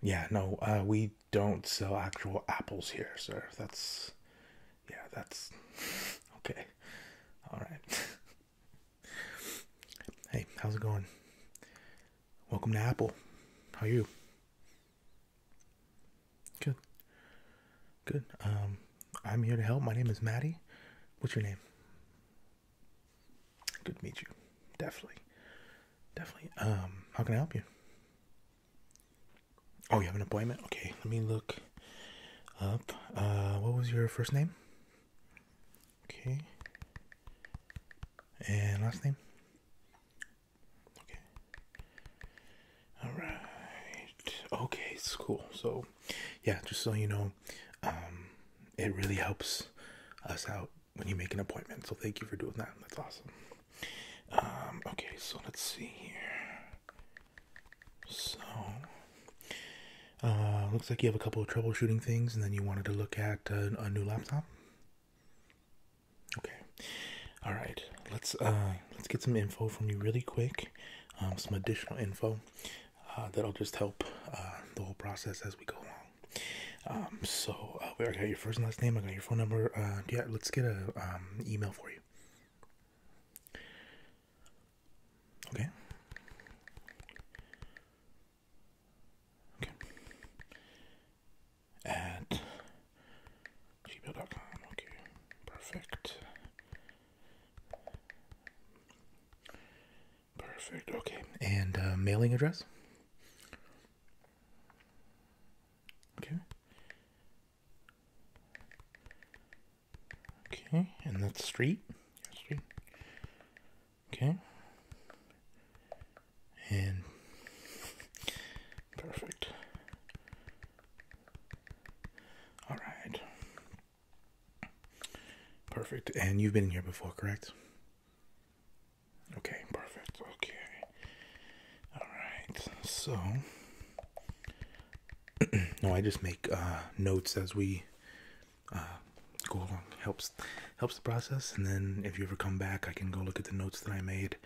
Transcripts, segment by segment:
yeah no uh, we don't sell actual apples here sir that's yeah that's okay all right Hey, how's it going? Welcome to Apple. How are you? Good. Good. Um, I'm here to help. My name is Maddie. What's your name? Good to meet you. Definitely. Definitely. Um, how can I help you? Oh, you have an appointment? Okay, let me look up. Uh, what was your first name? Okay. And last name? Okay. Alright. Okay, it's cool. So, yeah, just so you know, um, it really helps us out when you make an appointment. So, thank you for doing that. That's awesome. Um, okay, so let's see here. So, uh, looks like you have a couple of troubleshooting things, and then you wanted to look at uh, a new laptop. Okay, all right. Let's uh, let's get some info from you really quick. Um, some additional info uh, that'll just help uh, the whole process as we go along. Um, so uh, I got your first and last name. I got your phone number. Uh, yeah, let's get a um, email for you. Okay. At gmail.com. Okay. Perfect. Perfect. Okay. And uh, mailing address? Okay. Okay. And that's street? Street. Okay. And perfect. All right. Perfect. And you've been here before, correct? Okay, perfect. Okay. All right. So no, I just make uh, notes as we uh, go along helps helps the process and then if you ever come back i can go look at the notes that i made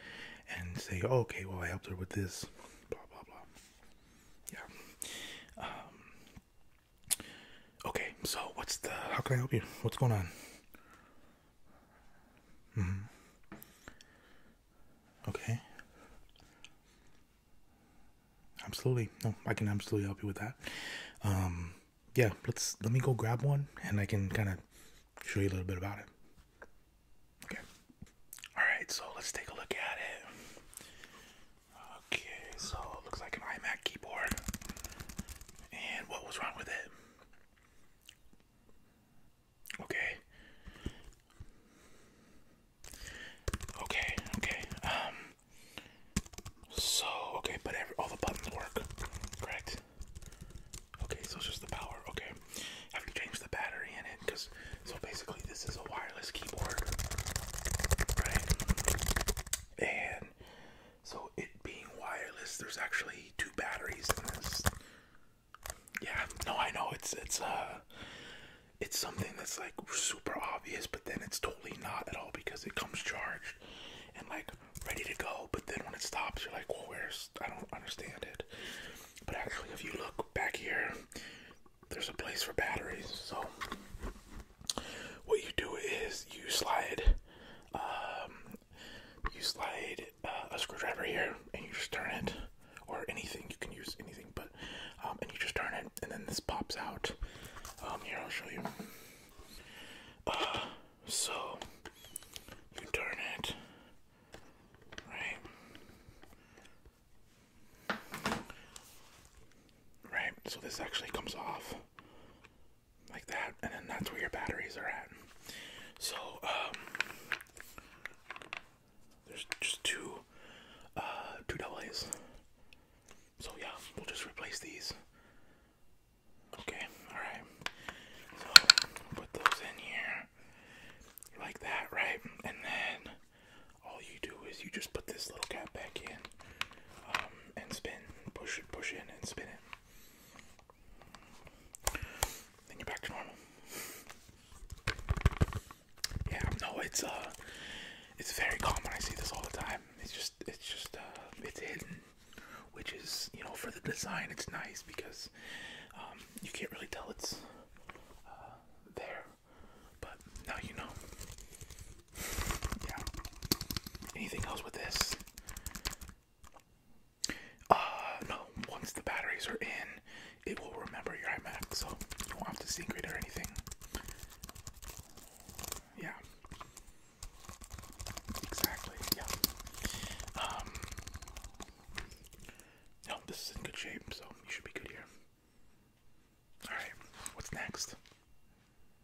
and say okay well i helped her with this blah blah blah yeah um, okay so what's the how can i help you what's going on -hmm. okay absolutely no i can absolutely help you with that um yeah, let's let me go grab one and I can kind of show you a little bit about it. Okay. All right, so let's take a look at it. Okay, so looks like an iMac keyboard. And what was wrong with it? Okay. Okay, okay. Um so, okay, but all the buttons work, correct? Okay, so it's just the power, okay. Have you changed the battery in it? Because, so basically this is a wireless keyboard, right? And, so it being wireless, there's actually two batteries in this. Yeah, no, I know, it's, it's, uh, it's something that's like super obvious, but then it's totally not at all because it comes charged and like ready to go, but then when it stops, you're like, where's I don't understand it. But actually, if you look back here, there's a place for batteries. So, what you do is you slide, um, you slide uh, a screwdriver here, and you just turn it, or anything. You can use anything, but um, and you just turn it, and then this pops out. Um, here I'll show you. so you turn it right, right. So this actually comes off like that, and then that's where your batteries are at. So um, there's just two, uh, two double A's. So yeah, we'll just replace these Okay, alright. So put those in here like that, right? And then all you do is you just put this little cap back in um, and spin, push it, push in, and spin it. Then you're back to normal. Yeah, no, it's uh, it's very common. I see this all the time. It's just, it's just, uh, it's hidden which is you know for the design it's nice because um, you can't really tell it's uh, there, but now you know. Yeah. Anything else with this? Uh, no. Once the batteries are in, it will remember your iMac, so you won't have to sync it or anything. Yeah. Exactly, yeah. Um, no, this is in good shape, so you should be good here. Alright, what's next?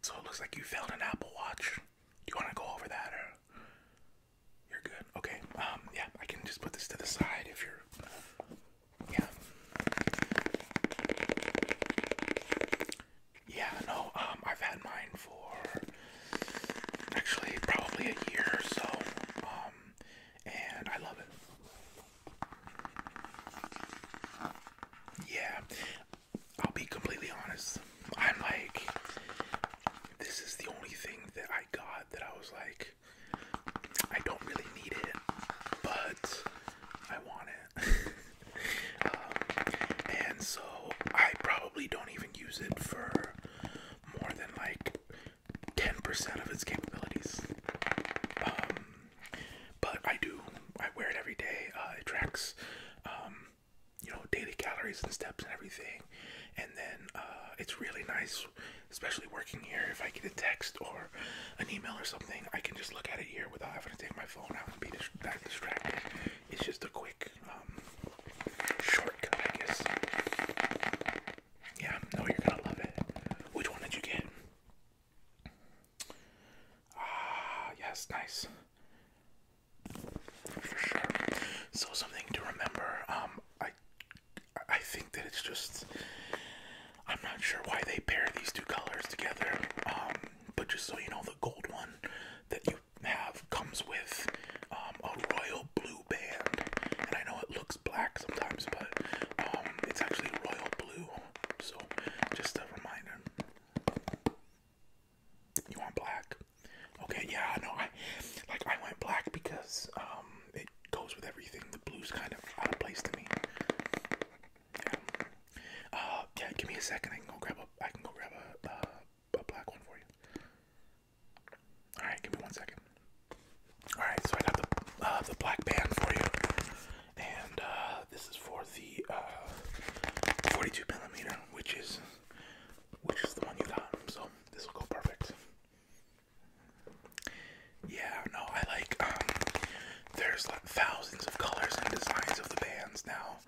So it looks like you found an Apple Watch. Do you want to go over that, or you're good? Okay, um, yeah, I can just put this to the side if you're. Yeah. Yeah, no, um, I've had mine for actually probably a year or so, um, and I love it. Yeah, I'll be completely honest. I'm like, this is the only thing that I got that I was like, I don't really need it, but I want it. Um, and so I probably don't even use it for more than like 10% of its capabilities. Um, but I do, I wear it every day. Uh, it tracks, um, you know, daily calories and steps and everything. And then uh, it's really nice, especially working here. If I get a text or an email or something, I can just look at it here without having to take my phone out and be that distracted. It's just a quick um, shortcut, I guess. Yeah, no, you're gonna love it. Which one did you get? Ah, yes, nice. For sure. So something to remember. Um, I, I think that it's just. I'm not sure why they pair these two colors together. Um, but just so you know, the gold one that you have comes with um, a royal blue band, and I know it looks black sometimes, but um, it's actually royal blue. So, just a reminder. You want black? Okay, yeah, no, I like I went black because um, it goes with everything. The blue's kind of out of place to me. Uh, yeah, give me a second. I can go grab a. I can go grab a uh, a black one for you. All right, give me one second. All right, so I got the uh, the black band for you, and uh, this is for the uh, 42 millimeter, which is which is the one you got. So this will go perfect. Yeah, no, I like. Um, there's like thousands of colors and designs of the bands now,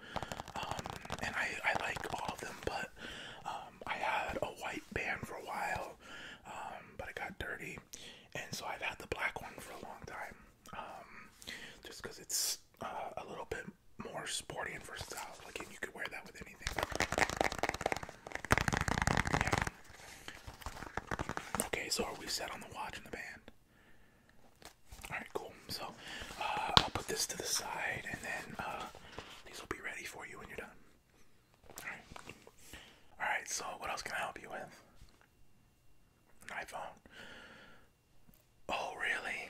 um, and I, like all of them, but um, I had a white band for a while, um, but it got dirty, and so I've had the black one for a long time, just because it's uh, a little bit more sporty and versatile looking. You could wear that with anything. Okay, so are we set on the watch and the band? Alright, cool. So uh, I'll put this to the side and then uh, these will be ready for you when you're done. Alright. Alright, so what else can I help you with? iPhone. Oh, really?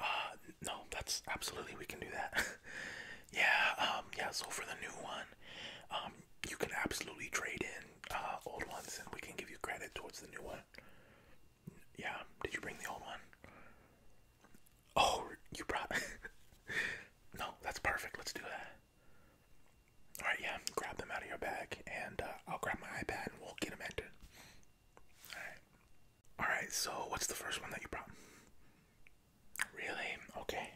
Uh, no, that's absolutely, we can do that. yeah, um, yeah, so for the new one, um, you can absolutely trade in old ones and we can give you credit towards the new one. Yeah. Did you bring the old one? Oh, you brought. no, that's perfect. Let's do that. All right. Yeah. Grab them out of your bag, and uh, I'll grab my iPad, and we'll get them entered. All right. All right. So, what's the first one that you brought? Really? Okay.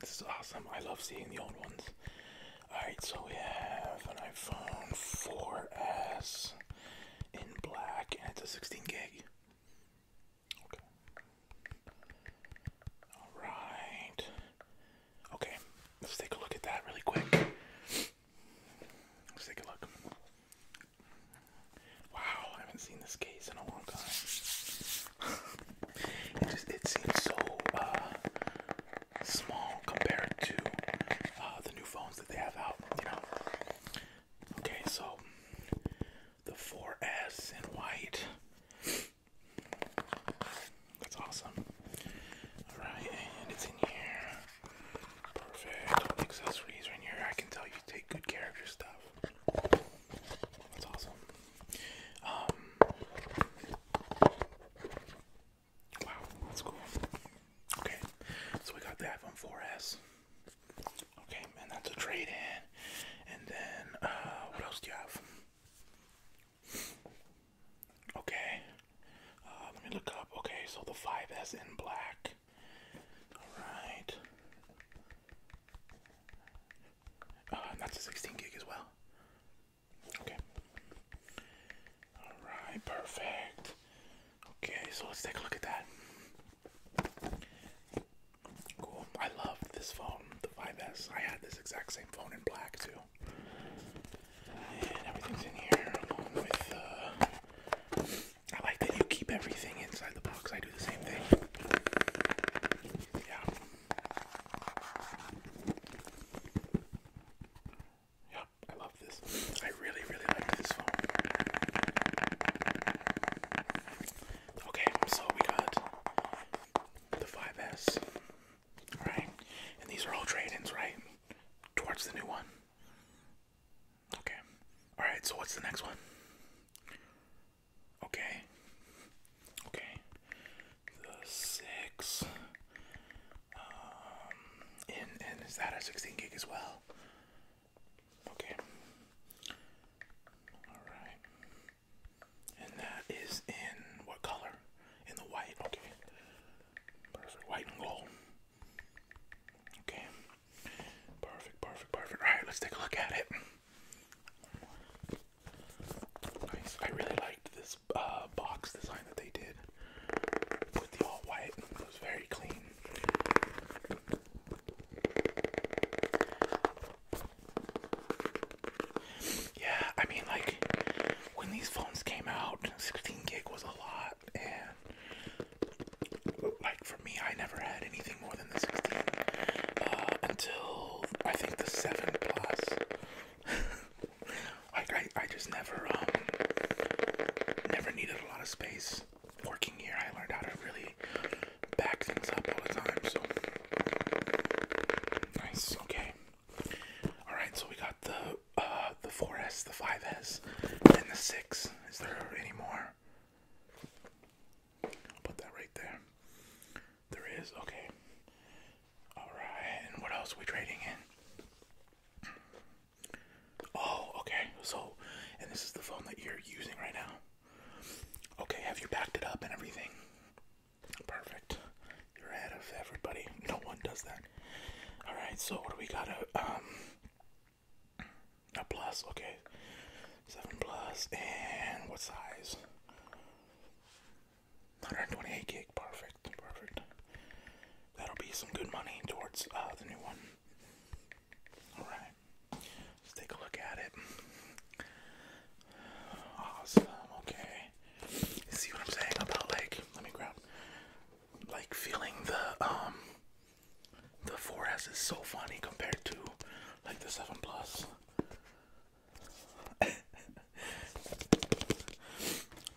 This is awesome. I love seeing the old ones. Alright, so we have an iPhone 4S in black and it's a 16 gig. Okay. Alright. Okay, let's take a look at that really quick. Let's take a look. Wow, I haven't seen this case in a long time. it just it seems so uh, small compared to uh, the new phones that they have out, you know. Okay, so the four S in white. That's awesome. Alright, and it's in here. Perfect. accessories are in here. I can tell you take good care of your stuff. That's awesome. Um Wow, that's cool. Okay, so we got the iPhone 4S. Okay, and that's a trade in. And then, uh, what else do you have? Okay, uh, let me look up. Okay, so the 5S in black. Alright. Uh, that's a 16 gig as well. Okay. Alright, perfect. Okay, so let's take a look at that. Cool. I love this phone, the 5S. I had this exact same phone in black too. And everything's in here along with uh, I like that you keep everything inside the box. I do the same thing. Yeah. Yep, I love this. I really, really like this phone. Okay, so we got the 5S, right? And these are all trade right? Towards the new one. Okay. Alright, so what's the next one? Okay. Okay. The 6. Um, and, and is that a 16 gig as well? Okay. Alright. And that is in what color? In the white. Okay. Perfect. White and gold. Okay. Perfect, perfect, perfect. Alright, let's take a look at it. I really liked this uh, box design that they did with the all white. was very clean. Yeah, I mean, like when these phones came out, 16 gig was a lot, and like for me, I never had anything more than the 16 uh, until I think the 7 plus. Like I, I just never, um, never needed a lot of space. Working here, I learned how to really back things up all the time. So nice. Okay. All right. So we got the uh, the 4S, the 5S, and the 6. Is there any more? I'll put that right there. There is. Okay. All right. And what else are we trading in? Oh, okay. So, and this is the phone that you're using right now. Okay, have you backed it up and everything? Perfect. You're ahead of everybody. No one does that. All right. So, what do we got? A uh, um, a plus. Okay, seven plus. And what size? 128 gig. Perfect. Perfect that'll be some good money towards uh, the new one. Alright, let's take a look at it. Awesome, okay. See what I'm saying about like, let me grab, like feeling the, um, the 4S is so funny compared to like the 7 Plus.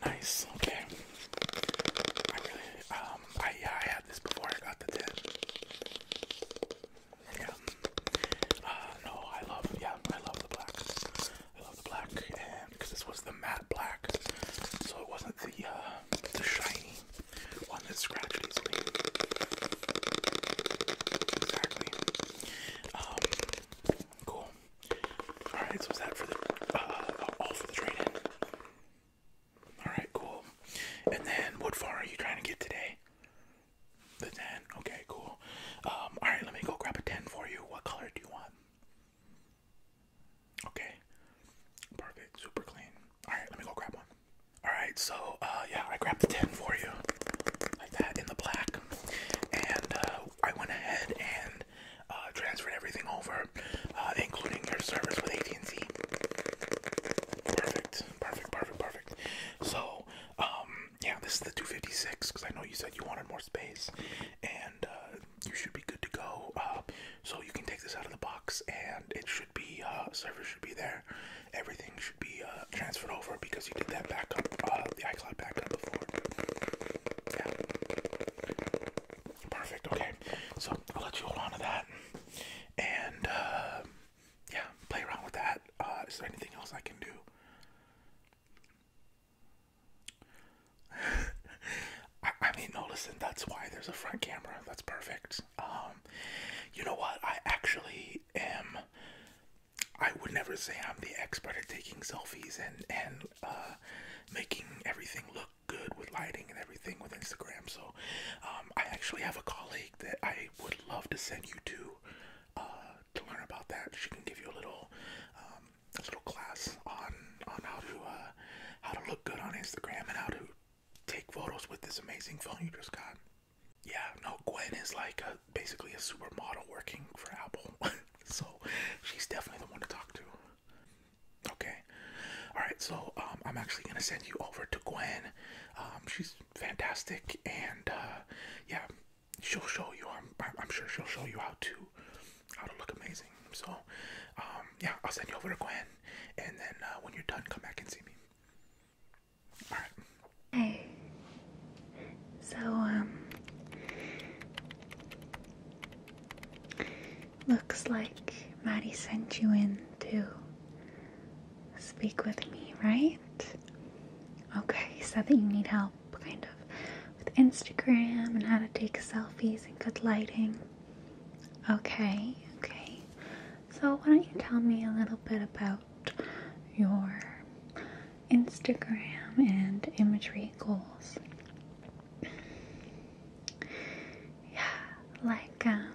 Nice. Okay. I really um I yeah I had this before I got the Yeah. Uh no, I love yeah, I love the black. I love the black and because this was the matte black. So it wasn't the uh the shiny one that scratched Exactly. Um, cool. All right, so that's that for the uh, all for the trade-in? All right, cool. And then what far are you trying to get today? The ten. Okay, cool. Um, all right, let me go grab a ten for you. What color do you want? Okay. Perfect. Super clean. All right, let me go grab one. All right, so uh, yeah, I grabbed the ten for you, like that in the black, and uh, I went ahead and uh, transferred everything over, uh, including your service with AT&T. Perfect, perfect, perfect, perfect. So, um, yeah, this is the 256 because I know you said you wanted more space, and uh, you should be good to go. so you can take this out of the box, and it should be uh, service should be there. Everything should be transferred over because you did that backup, uh, the iCloud backup before. Yeah. Perfect. Okay. So I'll let you hold on to that, and uh, yeah, play around with that. Uh, is there anything else I can do? I, mean, no. Listen, that's why there's a front camera. That's perfect. Um, you know what? I actually am. I would never say I'm the expert at taking selfies and and uh, making everything look good with lighting and everything with Instagram. So um, I actually have a colleague that I would love to send you to uh, to learn about that. She can give you a little um, little class on on how to uh, how to look good on Instagram and how to take photos with this amazing phone you just got. Yeah, no, Gwen is like basically a supermodel working for Apple. so she's definitely the one to talk to. Okay. All right. So um, I'm actually gonna send you over to Gwen. Um, she's fantastic, and uh, yeah, she'll show you. I'm, sure she'll show you how to how to look amazing. So um, yeah, I'll send you over to Gwen, and then uh, when you're done, come back and see me. Hey. So um. Looks like Maddie sent you in to speak with me, right? Okay, you said that you need help, kind of, with Instagram and how to take selfies and good lighting. Okay, okay. So, why don't you tell me a little bit about your Instagram and imagery goals? Yeah, like, um,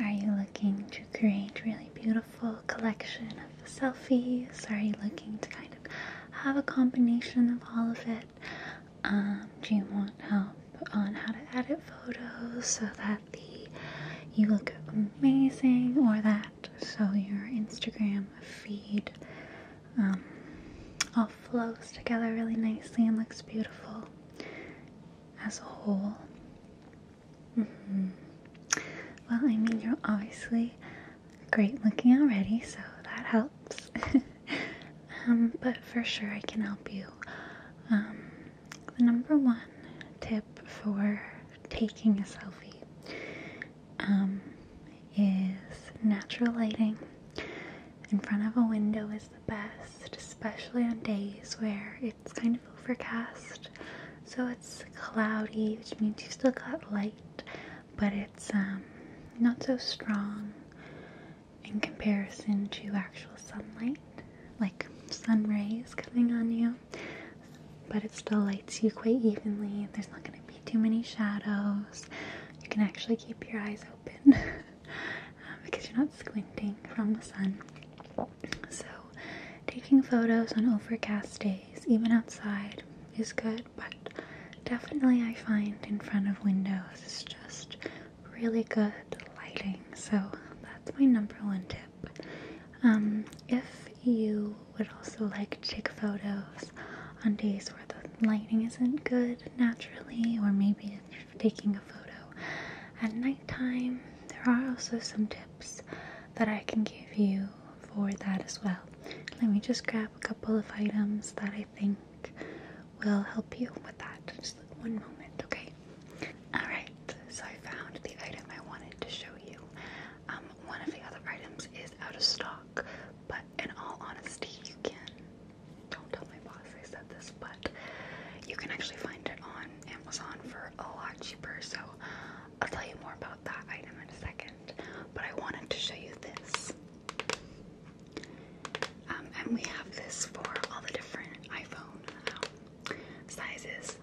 are you looking to create really beautiful collection of selfies? Are you looking to kind of have a combination of all of it? Um, do you want help on how to edit photos so that the you look amazing or that so your Instagram feed um, all flows together really nicely and looks beautiful as a whole. Mm-hmm. Well, I mean, you're obviously great looking already, so that helps. Um, but for sure, I can help you. Um, the number one tip for taking a selfie um, is natural lighting. In front of a window is the best, especially on days where it's kind of overcast. So it's cloudy, which means you still got light, but it's um, not so strong in comparison to actual sunlight, like sun rays coming on you. But it still lights you quite evenly. There's not going to be too many shadows. You can actually keep your eyes open um, because you're not squinting from the sun. So, taking photos on overcast days, even outside, is good, but definitely I find in front of windows is just really good lighting. So, that's my number one tip. Um, if you would also like to take photos on days where the lighting isn't good naturally, or maybe if taking a photo at nighttime, there are also some tips that I can give you for that as well. Let me just grab a couple of items that I think will help you with that. Just one moment, okay? Alright, so I found the item I wanted to show you. Um, one of the other items is out of stock, but in all honesty, you can don't tell my boss I said this, but you can actually find it on Amazon for a lot cheaper. So I'll tell you more about that item in a second. But I wanted to show you this. Um, and we have this for all the different iPhone um, sizes.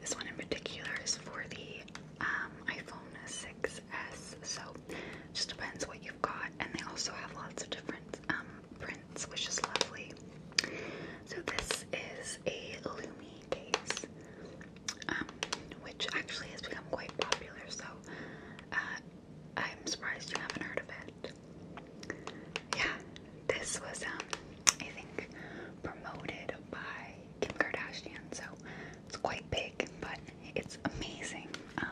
This one in particular is for the um, iPhone 6 XS. So just depends what you've got. And they also have lots of different um, prints, which is lovely. So this is a Lumi case, um, which actually has become quite popular. So uh, I'm surprised you haven't heard of it. Yeah, this was, um, I think, promoted by Kim Kardashian, so it's quite big but it's amazing. Um,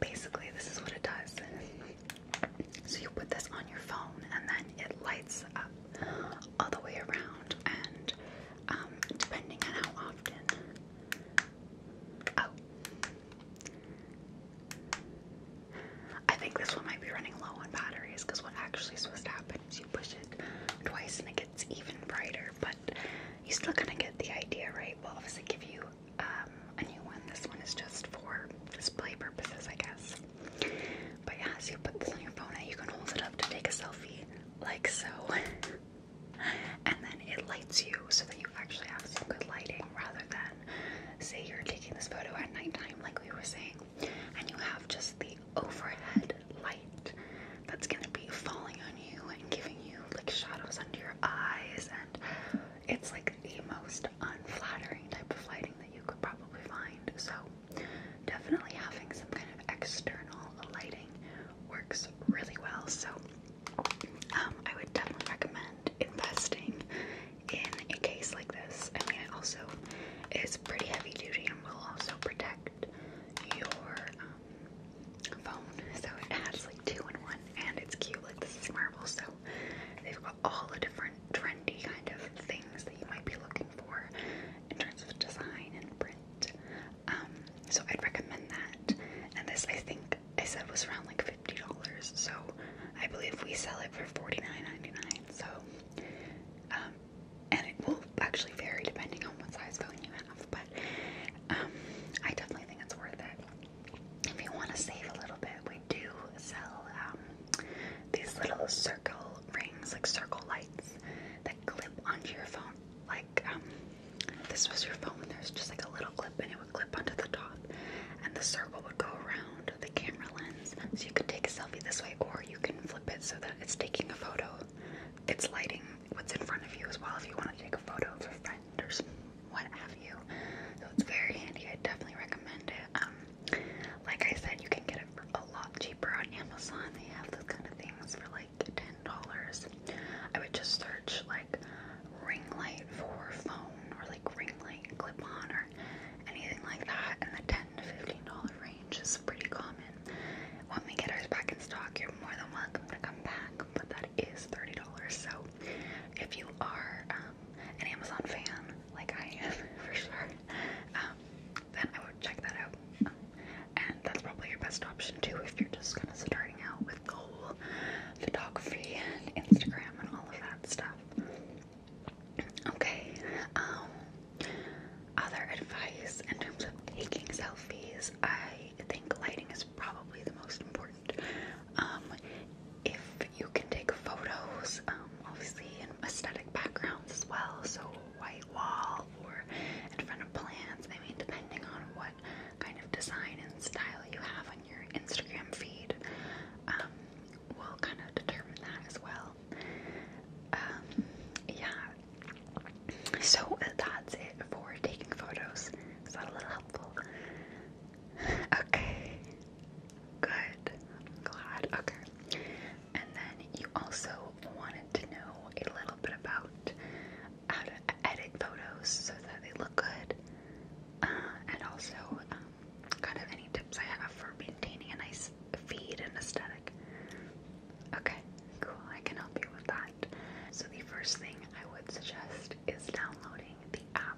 basically, this is what it does. So you put this on your phone, and then it lights up all the way around. And um, depending on how often, oh, I think this one might be running low on batteries because what actually is supposed to happen is you push it twice and it gets even brighter. But you still kind of get the idea, right? Well, will obviously give you um, a new one. This one is just for display purposes, I guess. But as you put this on your phone, you can hold it up to take a selfie, like so. and then it lights you so that you actually have some good lighting rather than, say, you're taking this photo at nighttime, like we were saying, and you have just the overhead light that's gonna be falling on you and giving you like shadows under your eyes and it's like the most unflattering type of lighting that you could probably find so definitely having some kind of external lighting works really well so um, I would definitely recommend investing in a case like this I mean it also is pretty heavy duty and will also protect your um, phone. So it has like two in one, and it's cute. Like this is Marvel, so they've got all the different trendy kind of things that you might be looking for in terms of design and print. Um, so I'd recommend that. And this, I think, I said was around like fifty dollars. So I believe we sell it for forty nine ninety nine. So. Um, and it will actually vary depending on what size phone you have but um, I definitely think it's worth it. If you want to save a little bit, we do sell um, these little circle rings, like circle lights, that clip onto your phone. Like um, this was your phone, and there's just like a little clip, and it would clip onto the top, and the circle would go around the camera lens. So you could take a selfie this way, or you can flip it so that it's taking a photo, it's lighting what's in front of you as well if you want to take a photo of a friend or some, what have you. So it's very handy. I definitely recommend it. Um, like I said, you can get it for a lot cheaper on Amazon. They have those kind of things for like ten dollars. I would just search like ring light for phone or like ring light clip on or anything like that. And the ten to fifteen dollar range is pretty common when we get ours back in stock, you're more than welcome to come back. But that is $30. So if you are um, an Amazon fan, like I am for sure, um, then I would check that out. and that's probably your best option too if you're just kind of starting out with the whole photography and Instagram and all of that stuff. Okay, um, other advice in terms of taking selfies I think lighting is probably the most important. Um, if you can take photos, um, obviously in aesthetic backgrounds as well, so white wall or in front of plants, I mean, depending on what kind of design and style you have on your Instagram feed, um, will kind of determine that as well. yeah, so that's it for taking photos. Is that a little helpful? Okay. Good. glad. Okay. And then you also wanted to know a little bit about how to edit photos so that they look good. Uh, and also, um, kind of any tips I have for maintaining a nice feed and aesthetic. Okay, cool. I can help you with that. So the first thing I would suggest is downloading the app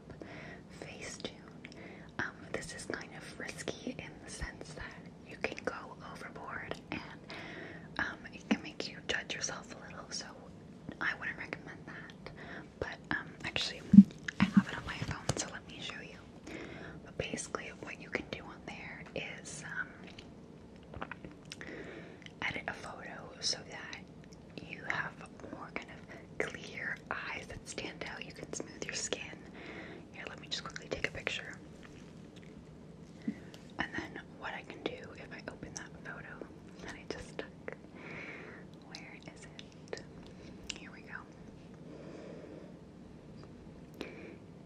Facetune. Um, this is kind of risky in the sense that you can go overboard and um, it can make you judge yourself a little. So I wouldn't recommend that. But um, actually, I have it on my phone, so let me show you. But basically, what you can do on there is um, edit a photo so that you have more kind of clear eyes that stand out. You can smooth your skin. Here, let me just quickly take a picture. And then what I can do if I open that photo that I just took. Where is it? Here we go.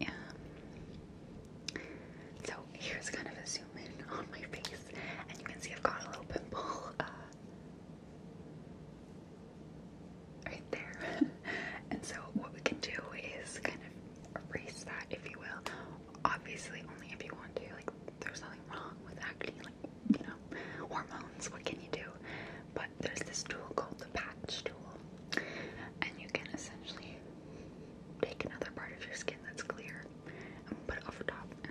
Um, so here's kind of a zoom in on my face, and you can see I've got a little pimple uh, right there. and so what we can do is kind of erase that, if you will. Obviously, only if you want to. Like, there's nothing wrong with acne, like you know, hormones. What can you do? But there's this tool called the patch tool, and you can essentially take another part of your skin that's clear i put it over top and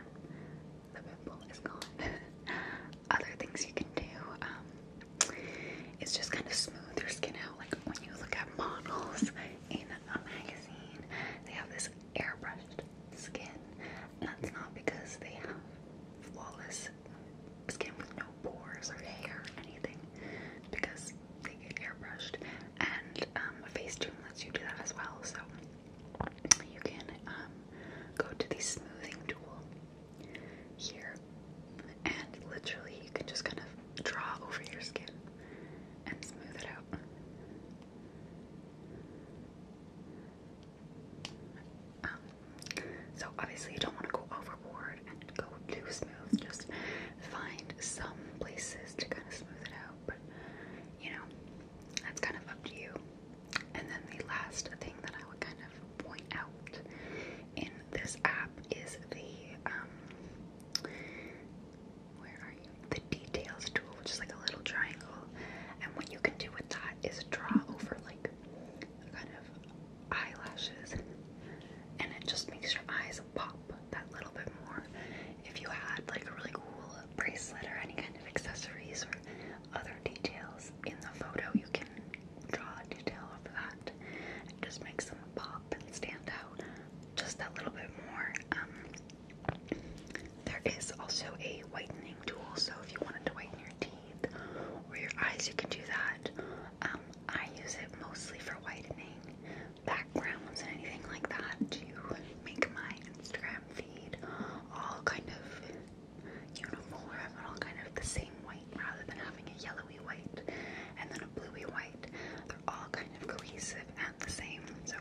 the pimple is gone. Other things you can do, um, is just kind of smooth your skin out. Like when you look at models in a magazine, they have this airbrushed skin. And that's not because they have flawless skin with no pores or hair or anything. because they get airbrushed, and um, face Facetune lets you do that as well. So you can um, go to the smoothing tool here, and literally you can just kind of draw over your skin and smooth it out. Um, so obviously you don't want to go overboard and go too smooth. Just find some places to kind of smooth it out up. You know, that's kind of up to you. And then the last thing that I would kind of point out in this app is the um where are you? The details tool, which is like a little triangle. And what you can do with that is draw over like kind of eyelashes and it just makes your eyes pop that little bit more. If you had like a really cool bracelet or any kind of accessories or other details in the photo, you can draw a detail over that. It just makes them pop and stand out just that little bit more. Um, there is also a whitening tool, so if you wanted to whiten your teeth or your eyes, you can do that. Um, I use it mostly for whitening, backgrounds and anything like that to make my Instagram feed all kind of uniform and all kind of the same white rather than having a yellowy white and then a bluey white. They're all kind of cohesive and the same. So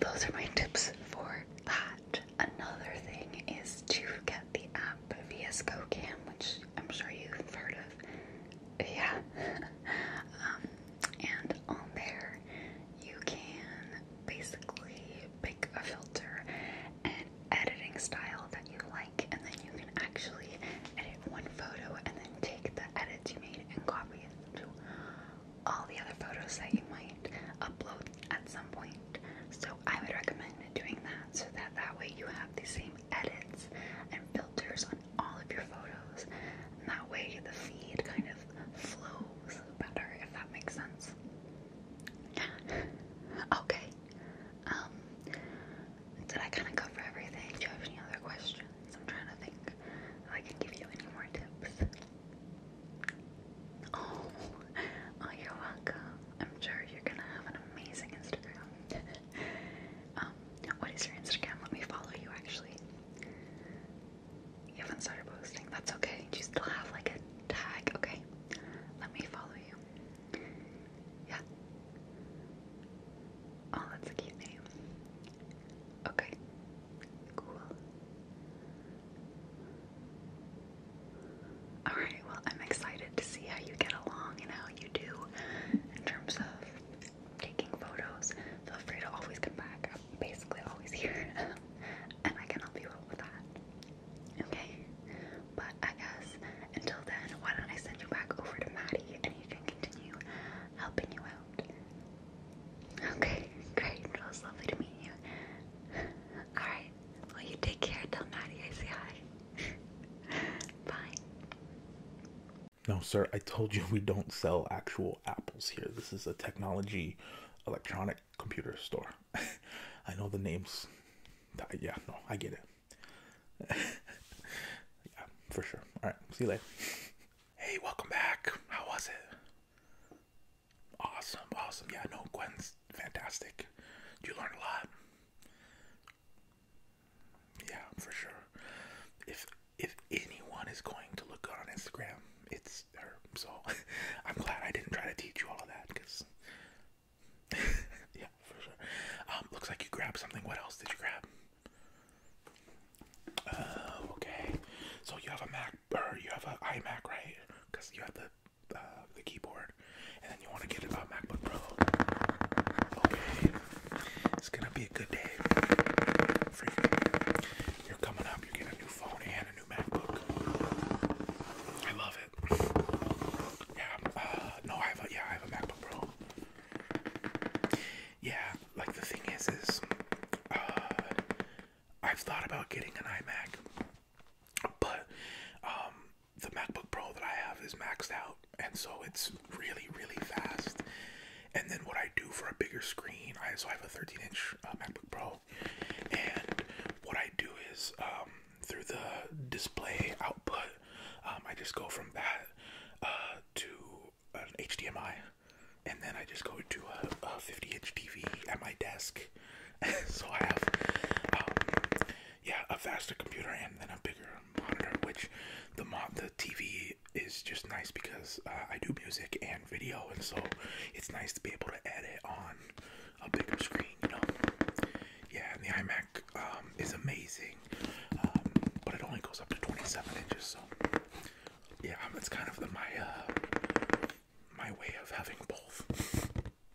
those are my tips for that. Another thing is to get the app VSCO Cam, which I'm sure you've heard of. Yeah. Um, and on there you can basically pick a filter and editing style that you like, and then you can actually edit one photo and then take the edits you made and copy it to all the other photos that you might upload at some point. So, I would recommend doing that so that that way you have the same edits and filters on all of your photos, and that way the feed kind of flows better, if that makes sense. okay. Um, did I kind of cover everything? Do you have any other questions? I'm trying to think if I can give you any more tips. oh, oh you're welcome. I'm sure you're gonna have an amazing Instagram. um, what is your Instagram? Let me follow you actually. You haven't started posting. That's okay. You still have like a tag. Okay. Let me follow you. Yeah. Oh, that's a cute name. Okay. Cool. Alright, well, I'm excited to see how you get along and how you do in terms of taking photos. Feel free to always come back. I'm basically always here, and I can help you out with that. Okay? But I guess until then, why don't I send you back over to Maddie and you can continue helping you out? Okay, great. It was lovely to meet you. Alright, well, you take care. Tell Maddie I say hi. Bye. No, sir, I told you we don't sell actual apples here. This is a technology electronic computer store. I know the names. Yeah, no, I get it. yeah, for sure. All right, see you later. Hey, welcome back. How was it? Awesome, awesome. Yeah, no, Gwen's fantastic. You learn a lot. Yeah, for sure. If if anyone is going to look on Instagram, it's her. So I'm glad I didn't try to teach you all of that because, yeah, for sure. Um, looks like you grabbed something. What else did you grab? Uh, okay. So you have a Mac or you have an iMac, right? Because you have the uh, the keyboard, and then you want to get a MacBook Pro. Okay, it's gonna be a good day for you. are coming up. You get a new phone and a new MacBook. I love it. Yeah. Uh, no, I have a yeah, I have a MacBook Pro. Yeah, like the thing is, is uh, I've thought about getting an iMac, but um, the MacBook Pro that I have is maxed out, and so it's really, really fast. And then what I do for a bigger screen, I also have a 13 inch uh, MacBook Pro, and what I do is um, through the display output, um, I just go from that uh, to an HDMI, and then I just go to a, 50 inch TV at my desk. so I have, um, yeah, a faster computer and then a bigger monitor, which the mo the TV it is just nice because uh, I do music and video, and so it's nice to be able to edit on a bigger screen, you know. Yeah, and the iMac um, is amazing, um, but it only goes up to 27 inches, so yeah, it's kind of the, my uh, my way of having both.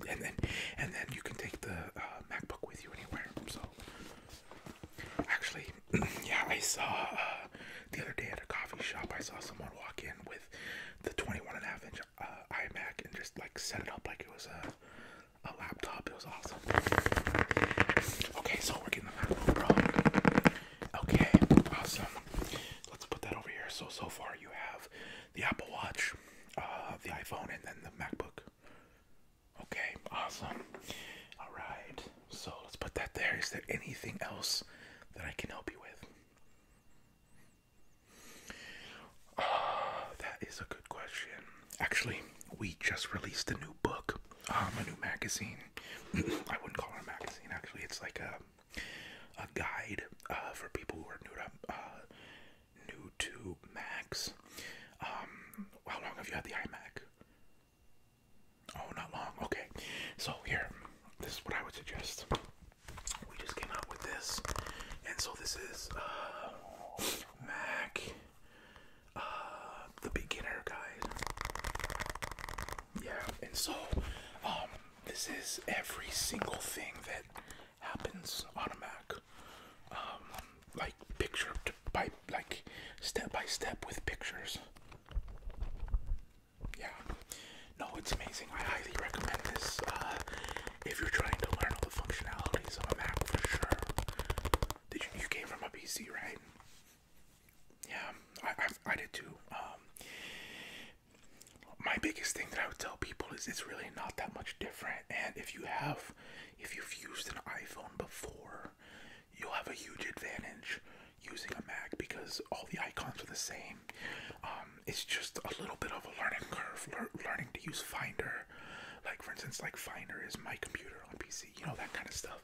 And then, and then you can take the uh, MacBook with you anywhere. So Actually, yeah, I saw uh, the other day at a coffee shop. I saw someone walk in with the twenty-one and a half inch uh, iMac and just like set it up like it was a, a laptop. It was awesome. Okay, so we're getting the MacBook Pro. Okay, awesome. Let's put that over here. So so far you have the Apple Watch, uh, the iPhone, and then the MacBook. Okay, awesome. All right. So let's put that there. Is there anything else that I can help you with? Ah, that is a good question. Actually, we just released a new book, um, a new magazine. I wouldn't call it a magazine. Actually, it's like a a guide uh, for people who are new to uh, new to Macs. Um, how long have you had the iMac? Oh, not long. Okay. So here, this is what I would suggest. We just came out with this, and so this is uh, Mac, uh, the beginner guide. Yeah, and so um, this is every single thing that happens on a Mac, um, like picture to by like step by step with pictures yeah, no, it's amazing. I highly recommend this uh, if you're trying to learn all the functionalities of a Mac for sure. Did you, you came from a PC, right? Yeah, I, I did too. Um, my biggest thing that I would tell people is it's really not that much different. And if you have, if you've used an iPhone before, you'll have a huge advantage using a Mac because all the icons are the same. Um, it's just a little bit of a learning curve, learning to use Finder. Like for instance, like Finder is my computer on PC, you know that kind of stuff.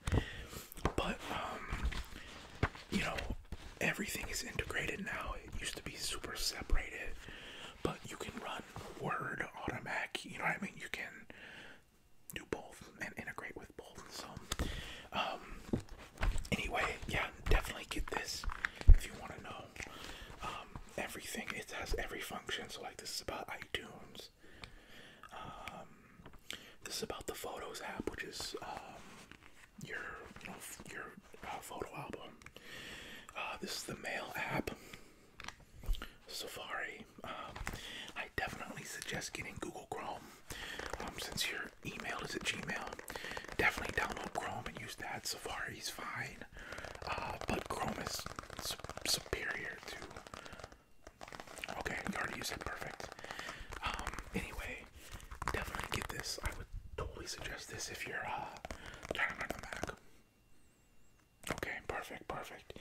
But um, you know, everything is integrated now. It used to be super separated, but you can run Word on a Mac. You know what I mean? You can do both and integrate with both. So, um, anyway, yeah, definitely get this if you want to know um, everything. It has every function. So, like, this is about iTunes. Um, this is about the Photos app, which is your your uh, photo album. Uh, this is the Mail app. Safari. I definitely suggest getting Google Chrome um, since your email is at Gmail, definitely download Chrome and use that. Safari's fine, uh, but Chrome is superior to. Okay, you already said Perfect. Um, anyway, definitely get this. I would totally suggest this if you're uh, trying to learn the Mac. Okay, perfect, perfect.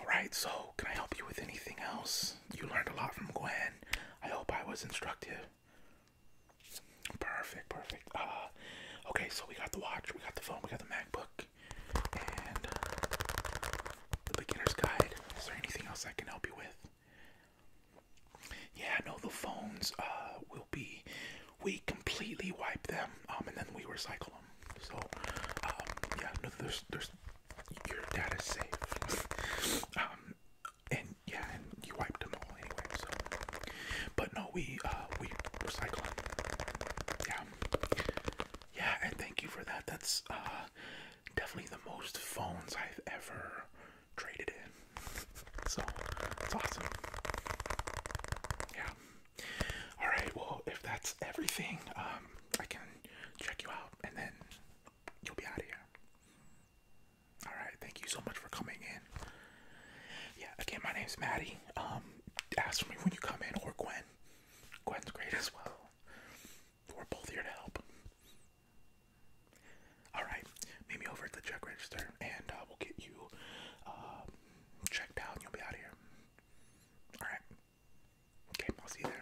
All right, so can I help you with anything else? You learned a lot from Gwen. I hope I was instructive. Perfect, perfect. Uh, okay, so we got the watch, we got the phone, we got the MacBook, and the beginner's guide. Is there anything else I can help you with? Yeah, I know the phones uh, will be, we completely wipe them um, and then we recycle them. So, um, yeah, no, there's, there's your data's safe. um, and yeah, and you wiped them all anyway. So, but no, we uh, we recycle. Yeah, yeah, and thank you for that. That's uh, definitely the most phones I've ever traded in. So it's awesome. Yeah. All right. Well, if that's everything, um, I can check you out and then you'll be out of here. All right, thank you so much for coming in. Yeah, again, my name's Maddie. Um, ask for me when you come in, or Gwen. Gwen's great as well. We're both here to help. All right, meet me over at the check register, and uh, will get you um, checked out, you'll be out of here. All right, Okay, I'll see you there.